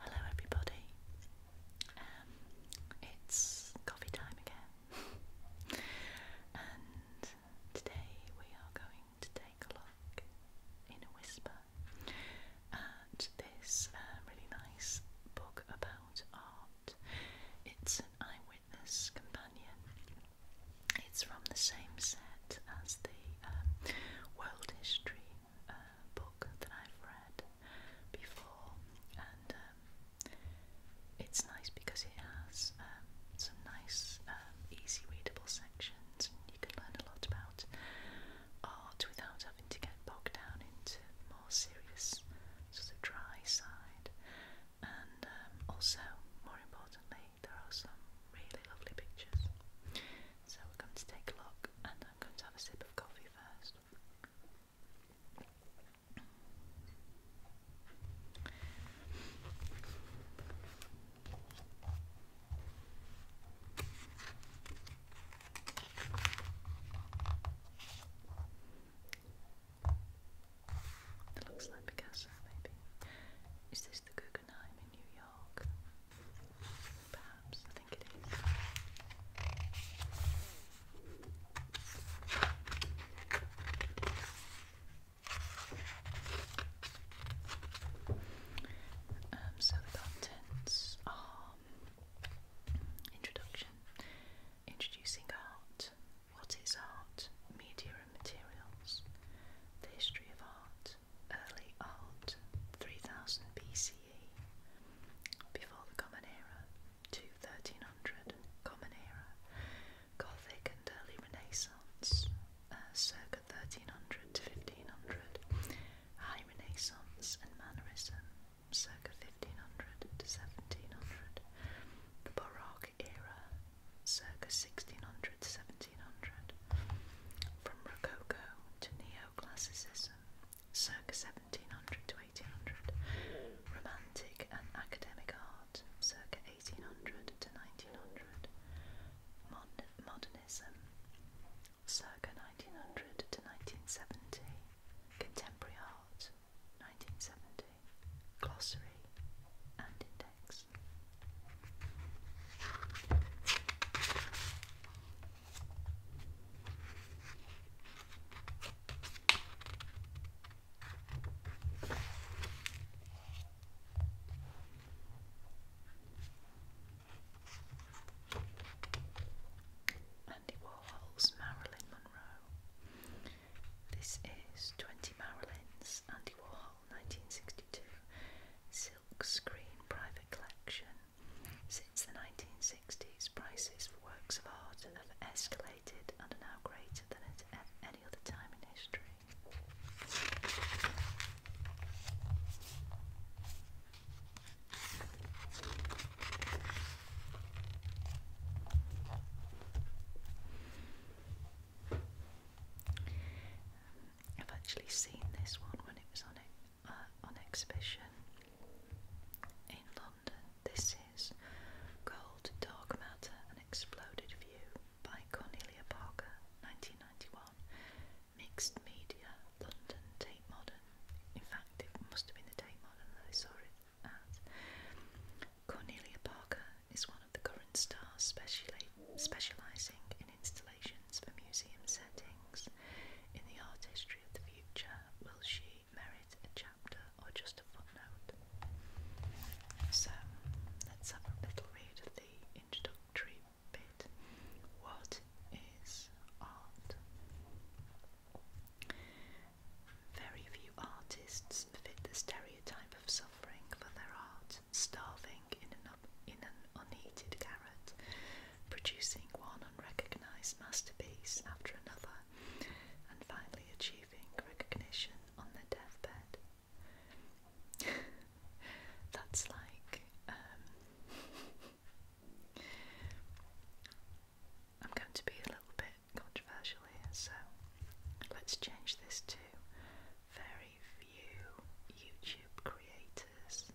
Hello, everybody. Um, it's coffee time again, and today we are going to take a look in a whisper at this uh, really nice book about art. It's an eyewitness companion. It's from the same set as the um, world history uh, book that I've read before, and um, it's nice because it has um, some nice, easy readable sections, you can learn a lot about art without having to get bogged down into more serious, sort of dry side. And also, more importantly, there are some really lovely pictures. So we're going to take a look and I'm going to have a sip of coffee first. It looks like Picasso, maybe. Is this the Guggenheim? Um, so the contents are mm, introduction, introducing art, what is art, media materials, the history of art, early art, 3000 BCE, before the Common Era, to 1300 Common Era, Gothic and early Renaissance, uh, circa 1300 to 1500, High Renaissance and Mannerism, circa 1500 to 1700, the Baroque era, circa 1600 1700, from Rococo to Neoclassicism, circa 1700 to 1800, Romantic and academic art, circa 1800 to 1900, Mod Modernism, circa 1900 to 1970, Contemporary art, 1970, Glossary and Index. Andy Warhol's Marilyn Monroe. This is 20 Marilyn's Andy Warhol. 1962, silk screen private collection. Since the 1960s, prices for works of art have escalated and are now greater than at any other time in history. I've actually seen this one when it was on uh, on exhibition in London. This is called Dark Matter: An Exploded View by Cornelia Parker, 1991, mixed media, London Tate Modern. In fact, it must have been the Tate Modern I saw it at. Cornelia Parker is one of the current stars specializing in installations for museum settings. In the art history of the future, will she merit a chapter or just a footnote? So, let's have a little read of the introductory bit. What is art? Very few artists fit the stereotype of suffering for their art, starving in an, unheated garret, producing one unrecognised masterpiece after another, and finally achieving recognition on their deathbed. That's like. Um, I'm going to be a little bit controversial here, so let's change this to very few YouTube creators,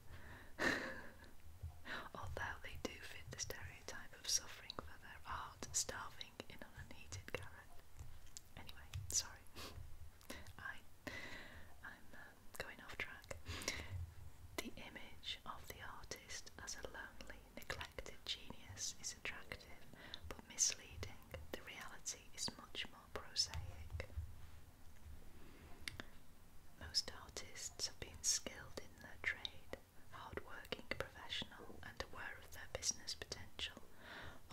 although they do fit the stereotype of suffering for their art, starving in an unheated garret. Anyway, sorry, I, I'm um, going off track. The image of the artist as a lonely, neglected genius is attractive but misleading. The reality is much more prosaic. Most artists have been skilled in their trade, hardworking, professional and aware of their business potential,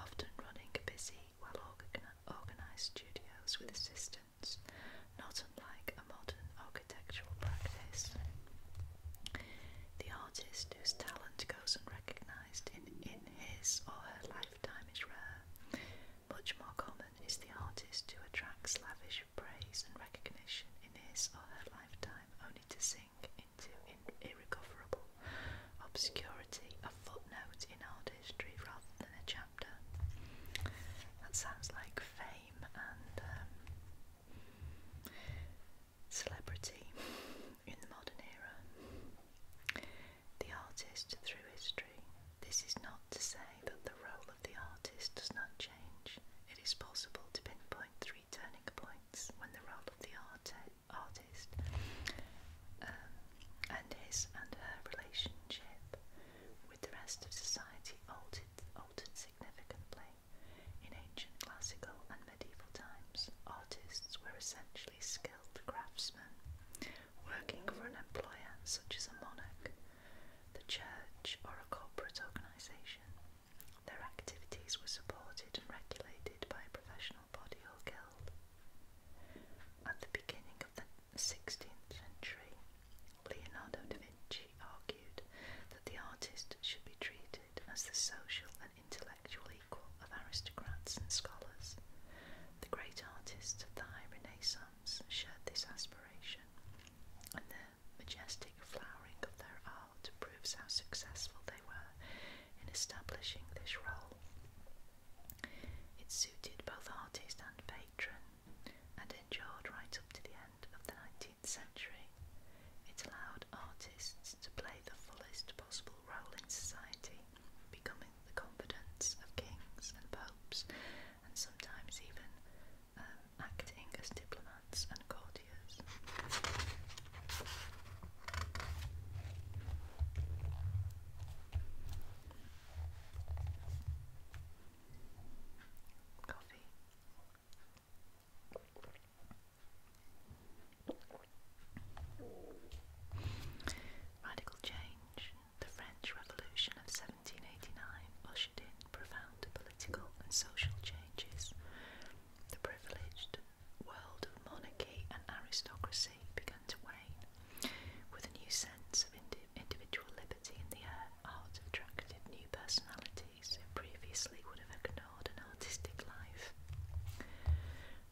often running busy, well-organized studios with assistants, not unlike a modern architectural practice. The artist whose talent goes unrecognized in, in his or her life of time is rare. Much more common is the artist who attracts lavish praise and recognition in his or her lifetime only to sink into irrecoverable obscurity, a footnote in art history rather than a chapter. That sounds like fame and um, celebrity. in the modern era. The artist through history. This is not to say that the role of the artist does not change. It is possible to pinpoint three turning points when the role of the artist um, and his and her relationship with the rest of society altered significantly. In ancient classical and medieval times, artists were essentially skilled skilled craftsmen, working for an employer such as a monarch, the church, or a corporate organisation. Their activities were supported and regulated by a professional body or guild. At the beginning of the 16th century, Leonardo da Vinci argued that the artist should be treated as the social intellectual equal of aristocrats and scholars. The great artists of the High Renaissance shared this aspiration, and the majestic flowering of their art proves how successful they were in establishing this role. It suited both artist and patron, and endured right up to the end of the 19th century. It allowed artists to play the fullest possible role in society, becoming the confidants of kings and popes, and sometimes even um, acting as diplomats and courtiers. Coffee. Radical change. The French Revolution of 1789 ushered in profound political and social changes. The privileged world of monarchy and aristocracy began to wane, with a new sense of individual liberty in the air. Art attracted new personalities who previously would have ignored an artistic life.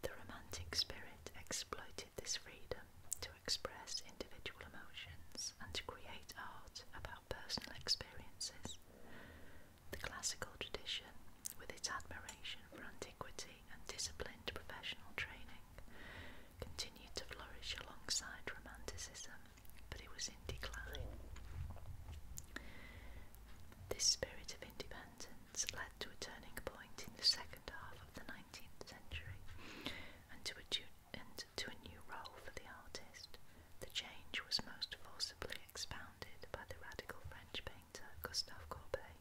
The Romantic spirit exploited this freedom to express individual emotions and to create art about personal experiences. The classical tradition, with its admiration for antiquity and disciplined professional training, continued to flourish alongside Romanticism, but it was in decline. This spirit of independence led to a turning point in the second half of the 19th century and to a, and to a new role for the artist. The change was most forcibly expounded by the radical French painter Gustave Courbet,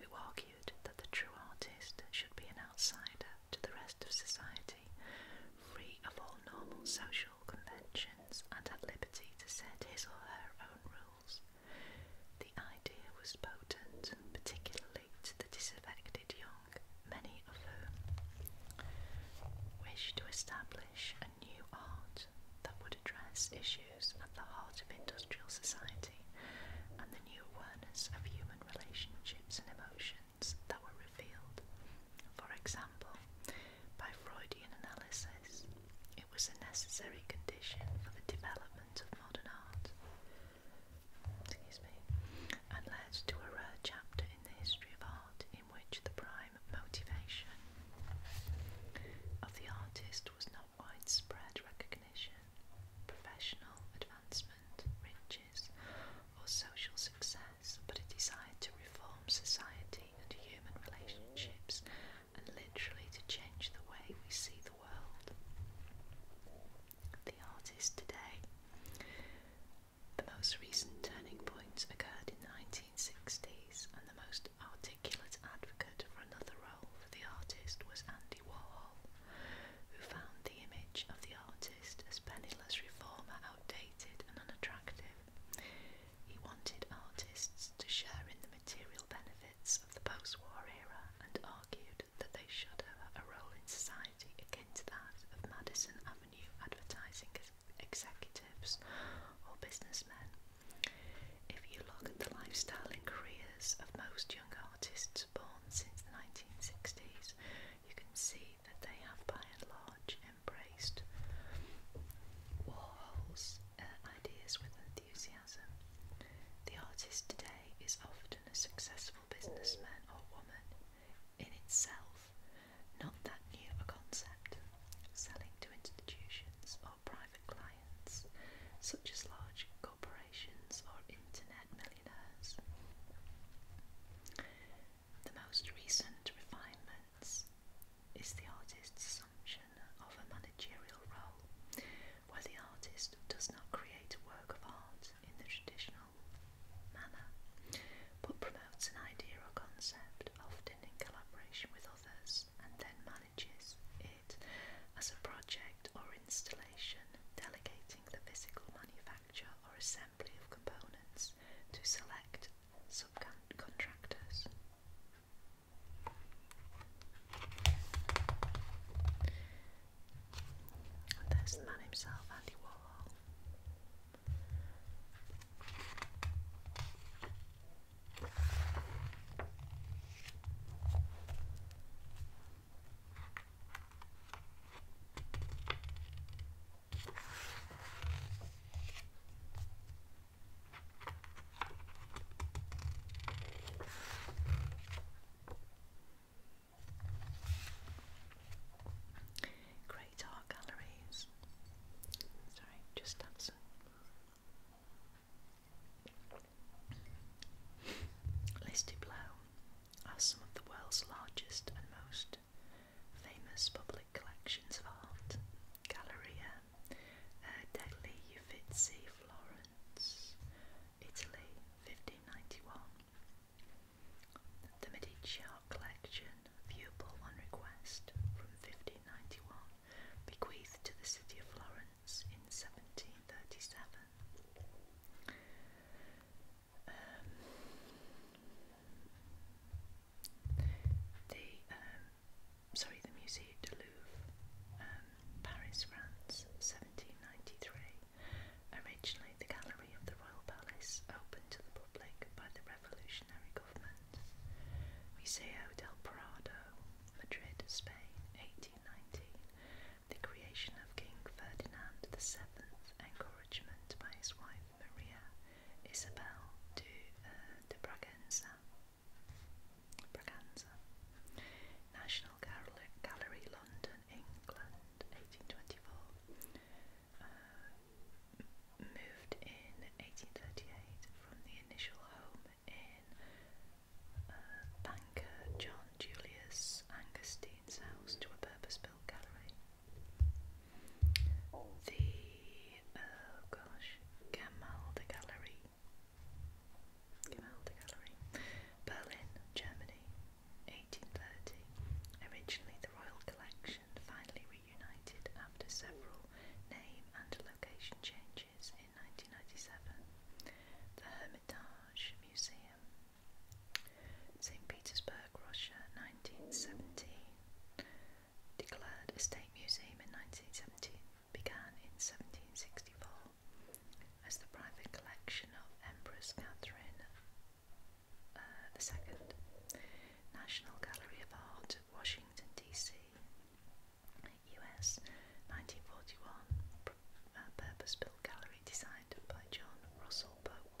who argued that the true artist should be an outsider to the rest of society, free of all normal social conventions and at liberty to set his or her own rules. The idea was potent, particularly to the disaffected young, many of whom wished to establish a new art that would address issues at the heart of industrial society and the new awareness of human relationships and emotions that were revealed. For example, by Freudian analysis, it was a necessary condition for the development of modern art excuse me, and led to a rare chapter in the history of art in which the prime motivation of the artist was not widespread recognition, professional advancement, riches, or social success, but a desire to reform society and human relationships and literally to change the way we see the world. The artist today. The most recent turning points occurred in the 1960s, and the most articulate advocate for another role for the artist was Andy Warhol, who found the image of the artist as penniless reformer outdated and unattractive. He wanted artists to share in the material benefits of the post war era and argued that they should have a role in society akin to that of Madison Avenue advertising executives or businessmen. If you look at the lifestyle and careers of most young artists born since the 1960s, you can see that they have by and large embraced Warhols, uh, ideas with enthusiasm. The artist today is often a successful businessman or woman in itself, not that new a concept. Selling to institutions or private clients, such as large corporations or internet millionaires. The most recent refinements is the artist's of a managerial role, where the artist does not create a work of art in the traditional manner, but promotes an idea or concept, often in collaboration with others, and then manages it as a project or installation, delegating the physical manufacture or assembly of components to select subcontractors. There's the man himself, Andy Warhol. Great art galleries. Sorry, just dancing. Listed below are some of the world's largest and most famous public collections of art. Galleria uh, Degli Uffizi, Florence, Italy, 1591. The Medici Art Collection, viewable on request from 1591, bequeathed to the city of Florence in 1737. Um, the um, sorry, the Musée du Louvre, um, Paris, France, 1793. Originally, the gallery of the Royal Palace, opened to the public by the revolutionary government. Museo del Prado, Madrid, Spain, 1819. The creation of King Ferdinand VII, encouragement by his wife Maria Isabel de, uh, Braganza. Braganza. National Gallery, Gallery London, England, 1824. Uh, moved in 1838 from the initial home in uh, banker John Julius Angustine's house to a purpose built gallery. The oh gosh, Gamal the Gallery. Gamal the Gallery. Berlin, Germany, 1830. Originally the Royal Collection, finally reunited after several name and location changes in 1997. The Hermitage Museum. St. Petersburg, Russia, nineteen seventy declared a state museum in 1917, began in 1764 as the private collection of Empress Catherine II, uh, National Gallery of Art, Washington, D.C., U.S., 1941, uh, purpose-built gallery designed by John Russell Pope.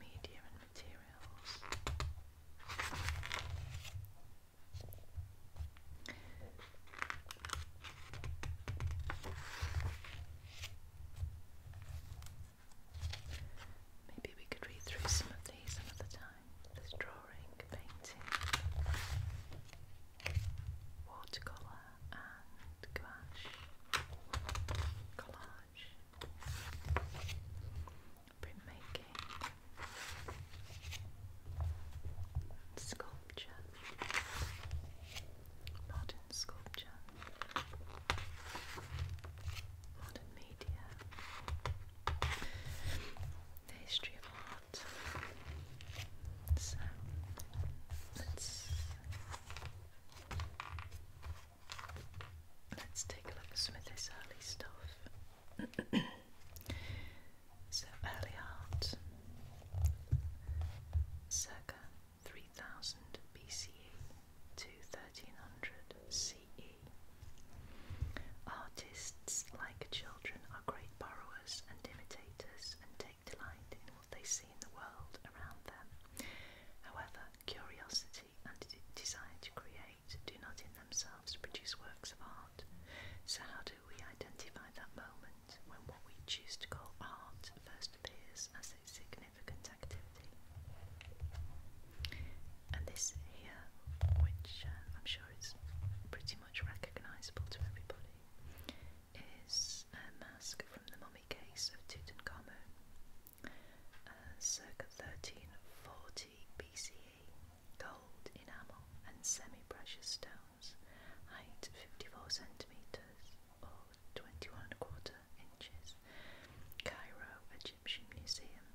medium and materials. Maybe we could read through some of these another time. There's drawing, painting, watercolour and gouache collage printmaking, sculpture, modern sculpture, modern media, the history of art. So let's um, Let's take a look at some early stuff. so, early art, circa 3000 BCE to 1300 CE. Artists, like children, are great borrowers and imitators and take delight in what they see in the world around them. However, curiosity and desire to create do not in themselves produce works of art. So, how do we identify that moment when what we choose to call art first appears as a significant activity? And this here, which uh, I'm sure is pretty much recognisable to everybody, is a mask from the mummy case of Tutankhamun uh, circa 1340 BCE, gold, enamel, and semi precious stones, height 54 centimetres or 21 and a quarter inches. Cairo Egyptian Museum.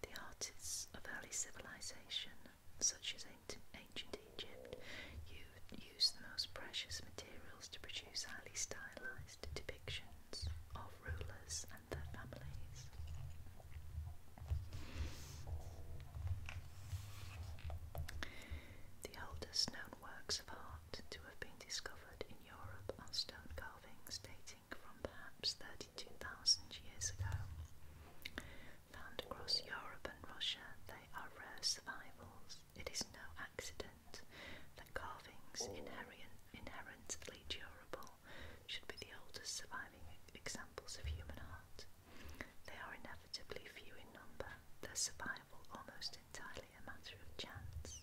The artists of early civilization, such as ancient Egypt, used the most precious materials to produce highly stylized depictions of rulers and their families. The oldest known works of art to have been discovered in Europe are stone carvings dating from perhaps 32,000 years ago. Found across Europe and Russia, they are rare survivals. It is no accident comment that carvings inherent, inherently durable should be the oldest surviving examples of human art. They are inevitably few in number, their survival almost entirely a matter of chance.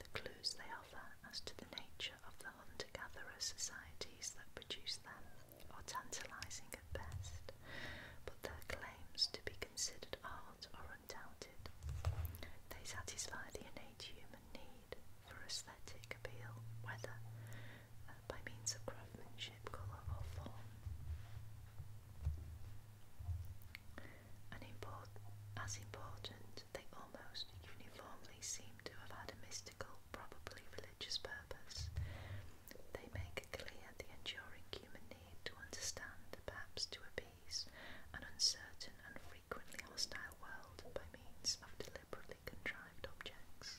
The clues they offer as to the nature of the hunter gatherer societies that produced them are tantalising at best, but their claims to be considered art are undoubted. They satisfy the innate human need for aesthetic appeal, whether uh, by means of craftsmanship, colour, or form. And as important, they almost uniformly seem to have had a mystical, probably religious purpose. They make clear the enduring human need to understand, perhaps to appease, an uncertain and free frequently hostile world by means of deliberately contrived objects.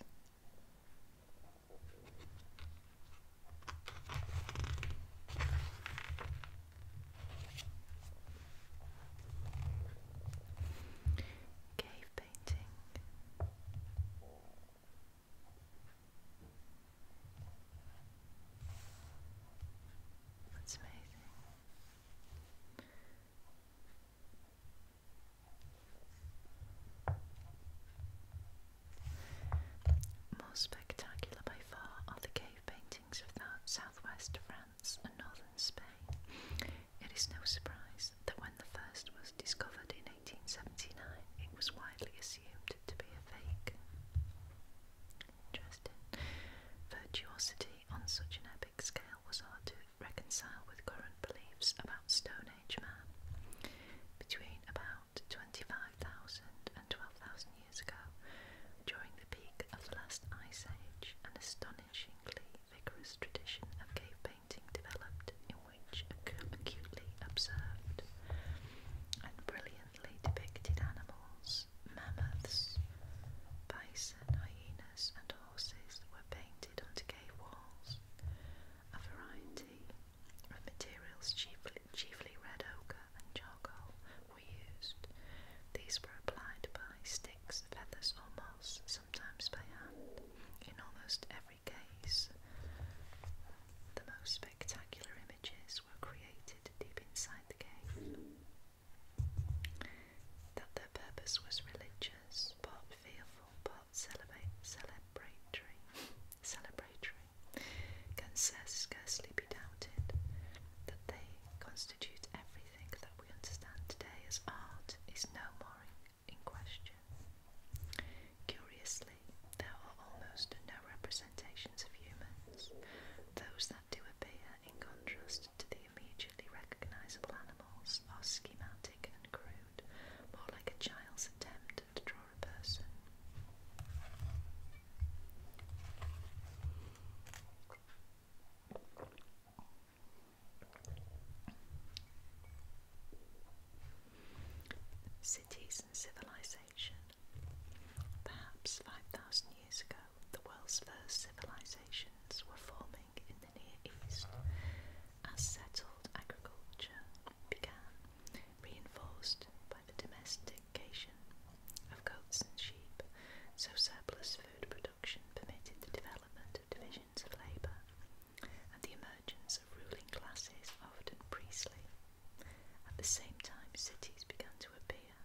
Cave painting. That's amazing. More spectacular by far are the cave paintings of that southwest France and northern Spain. It is no surprise that when the first was discovered in 1879, it was widely assumed to be a fake. Interesting. Virtuosity on such an epic scale was hard to reconcile with current beliefs about Stone Age man. Between about 25,000 and 12,000 years ago, during the peak of the last ice age, an astonishingly vigorous tradition of cave painting developed in which acutely observed and brilliantly depicted animals mammoths, bison, hyenas, and horses were painted onto cave walls. A variety of materials, chiefly, chiefly red ochre and charcoal, were used. These were applied by sticks, feathers, or moss, sometimes by hand. In almost every case, the most spectacular images were created deep inside the cave. That their purpose was religious, part fearful, part celebratory, celebratory, can scarcely be doubted. That they constitute everything that we understand today as art is no more in, question. Curiously, there are almost no representations of humans. Those that that do appear in contrast to the immediately recognizable animals are schematic and crude, more like a child's attempt to draw a person. Cities civilization. Perhaps 5,000 years ago, the world's first civilizations were forming in the Near East as settled agriculture began, reinforced by the domestication of goats and sheep, so surplus food production permitted the development of divisions of labour and the emergence of ruling classes, often priestly. At the same time, cities began to appear.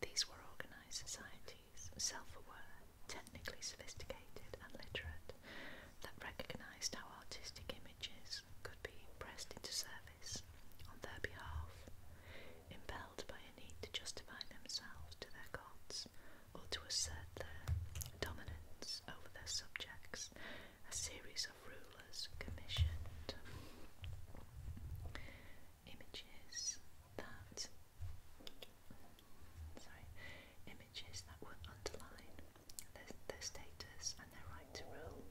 These were organised societies, self-aware, technically sophisticated and literate, that recognised how artistic images could be pressed into service on their behalf, impelled by a need to justify themselves to their gods or to assert their dominance over their subjects. A series of rulers commissioned images that sorry images that would underline their, their status and their right to rule.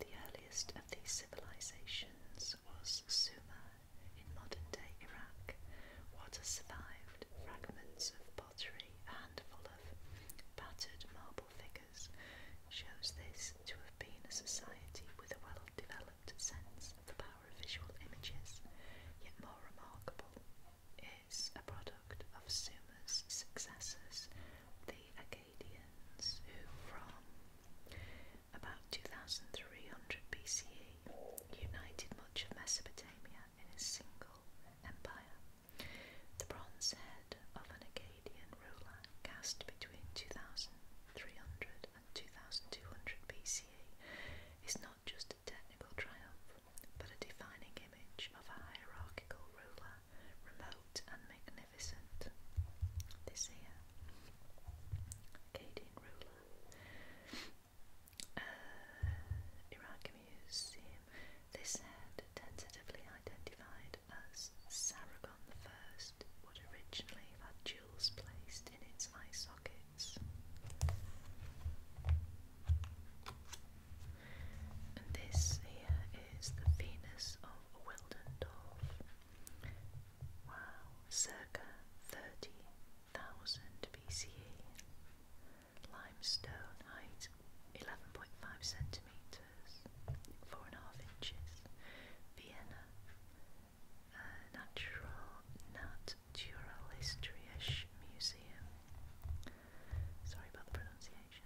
The earliest of these civilizations was Sumer in modern-day Iraq. What has survived? Fragments of pottery, a handful of battered marble figures shows this to have been a society with a well developed sense of the power of visual images, yet more remarkable is a product of Sumer's successors, the Akkadians, who from about 2300 BCE united much of Mesopotamia in a single empire. The bronze head of an Akkadian ruler cast between 2300 and 2200 BCE is not just a technical triumph, but a defining image of a hierarchical ruler, remote and magnificent. This here, Akkadian ruler. Uh, Iraq Museum. This head, tentatively identified as Sargon First, would originally have had jewels placed in its eye sockets. And this here is the Venus of Wildendorf. Wow, circa 30,000 BCE. Limestone height 11.5 centimetres four and a half inches. Vienna, a uh, natural naturalistische museum. Sorry about the pronunciation.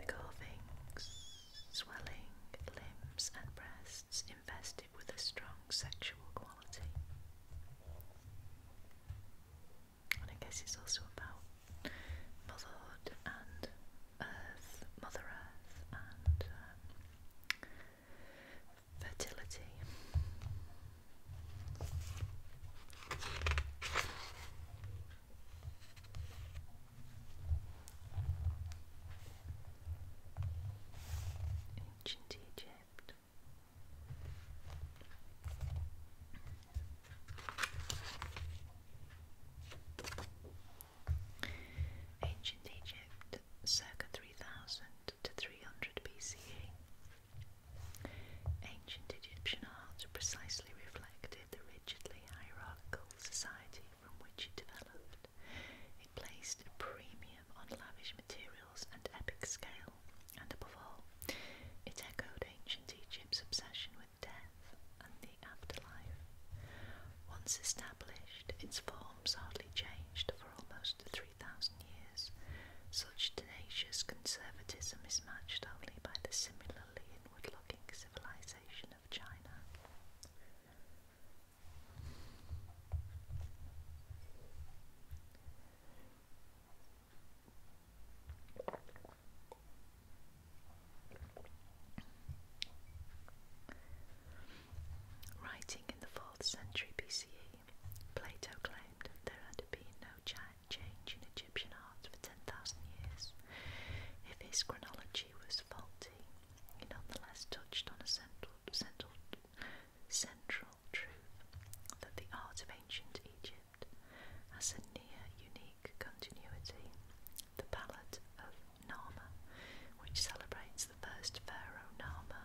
The carvings, swelling limbs and breasts, invested with a strong sexual quality. And I guess it's also about Motherhood and Earth, Mother Earth, and um, fertility. Ancient Egypt. Ancient Egypt, circa 3000 to 300 BCE. Ancient Egyptian art precisely reflected the rigidly hierarchical society from which it developed. It placed a premium on lavish materials and epic scale, and above all, it echoed ancient Egypt's obsession with death and the afterlife. Once established, its forms hardly changed for almost 3,000 years. Such tenacious conservatism is matched only by the similarly inward-looking civilization of China. Writing in the 4th century BCE, Plato claimed there had been no change in Egyptian art for 10,000 years. If his chronology was faulty, he nonetheless touched on a central, central, central truth that the art of ancient Egypt as a near unique continuity. The palette of Nama, which celebrates the first pharaoh Nama,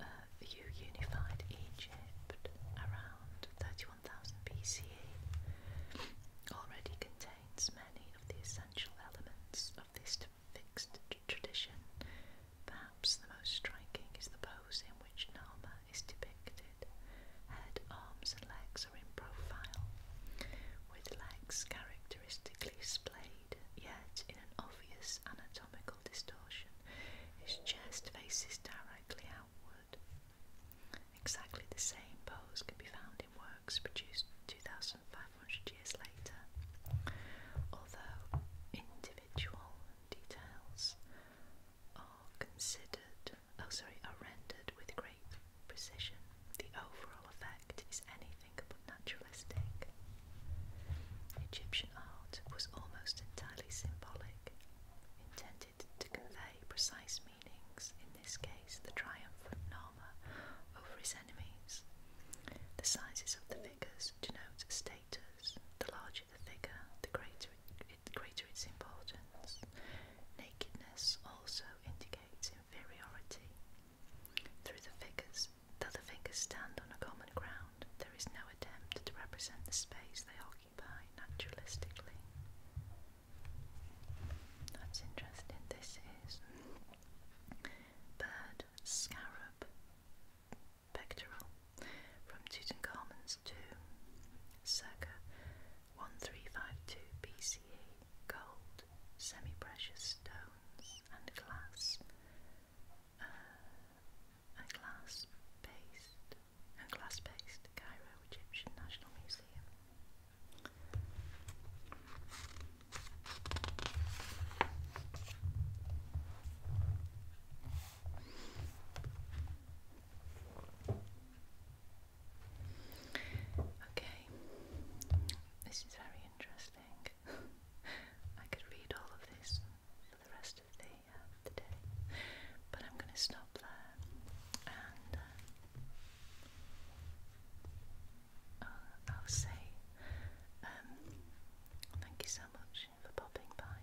uh, who unified Egypt around 31,000 BCE, already contains many of the essential elements of this fixed tradition. Perhaps the most striking is the pose in which Nama is depicted. Head, arms, and legs are in profile, with legs characteristically splayed, yet in an obvious anatomical distortion. His chest faces directly outward. Exactly the same pose can be found in works produced 2,500 years later, although individual details are considered, oh sorry, are rendered with great precision. The overall effect is anything but naturalistic. Egyptian art was almost entirely symbolic, intended to convey precise meanings, in this case the triumph of Nama over his enemies. The sizes of the figures denote status. The larger the figure, the greater greater its importance. Nakedness also indicates inferiority. Through the figures, though the figures stand on a common ground, there is no attempt to represent the space they occupy naturalistically. That's interesting. This is bird, scarab, pectoral from Tutankhamun's tomb, circa 1352 BCE, gold, semi precious stones, and glass, uh, a glass based, a glass based Cairo Egyptian National Museum. Okay, this is very interesting. I could read all of this for the rest of the, uh, day, but I'm going to stop there and uh, uh, I'll, say um, thank you so much for popping by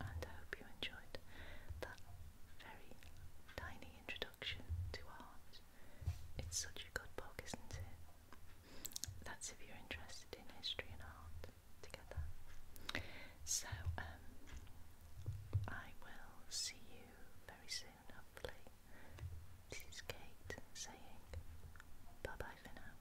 and I hope you enjoyed that very tiny introduction to art. It's such a good book, isn't it? That's if you're interested in history and art together. So, um, I will see you very soon, hopefully. This is Kate saying bye bye for now.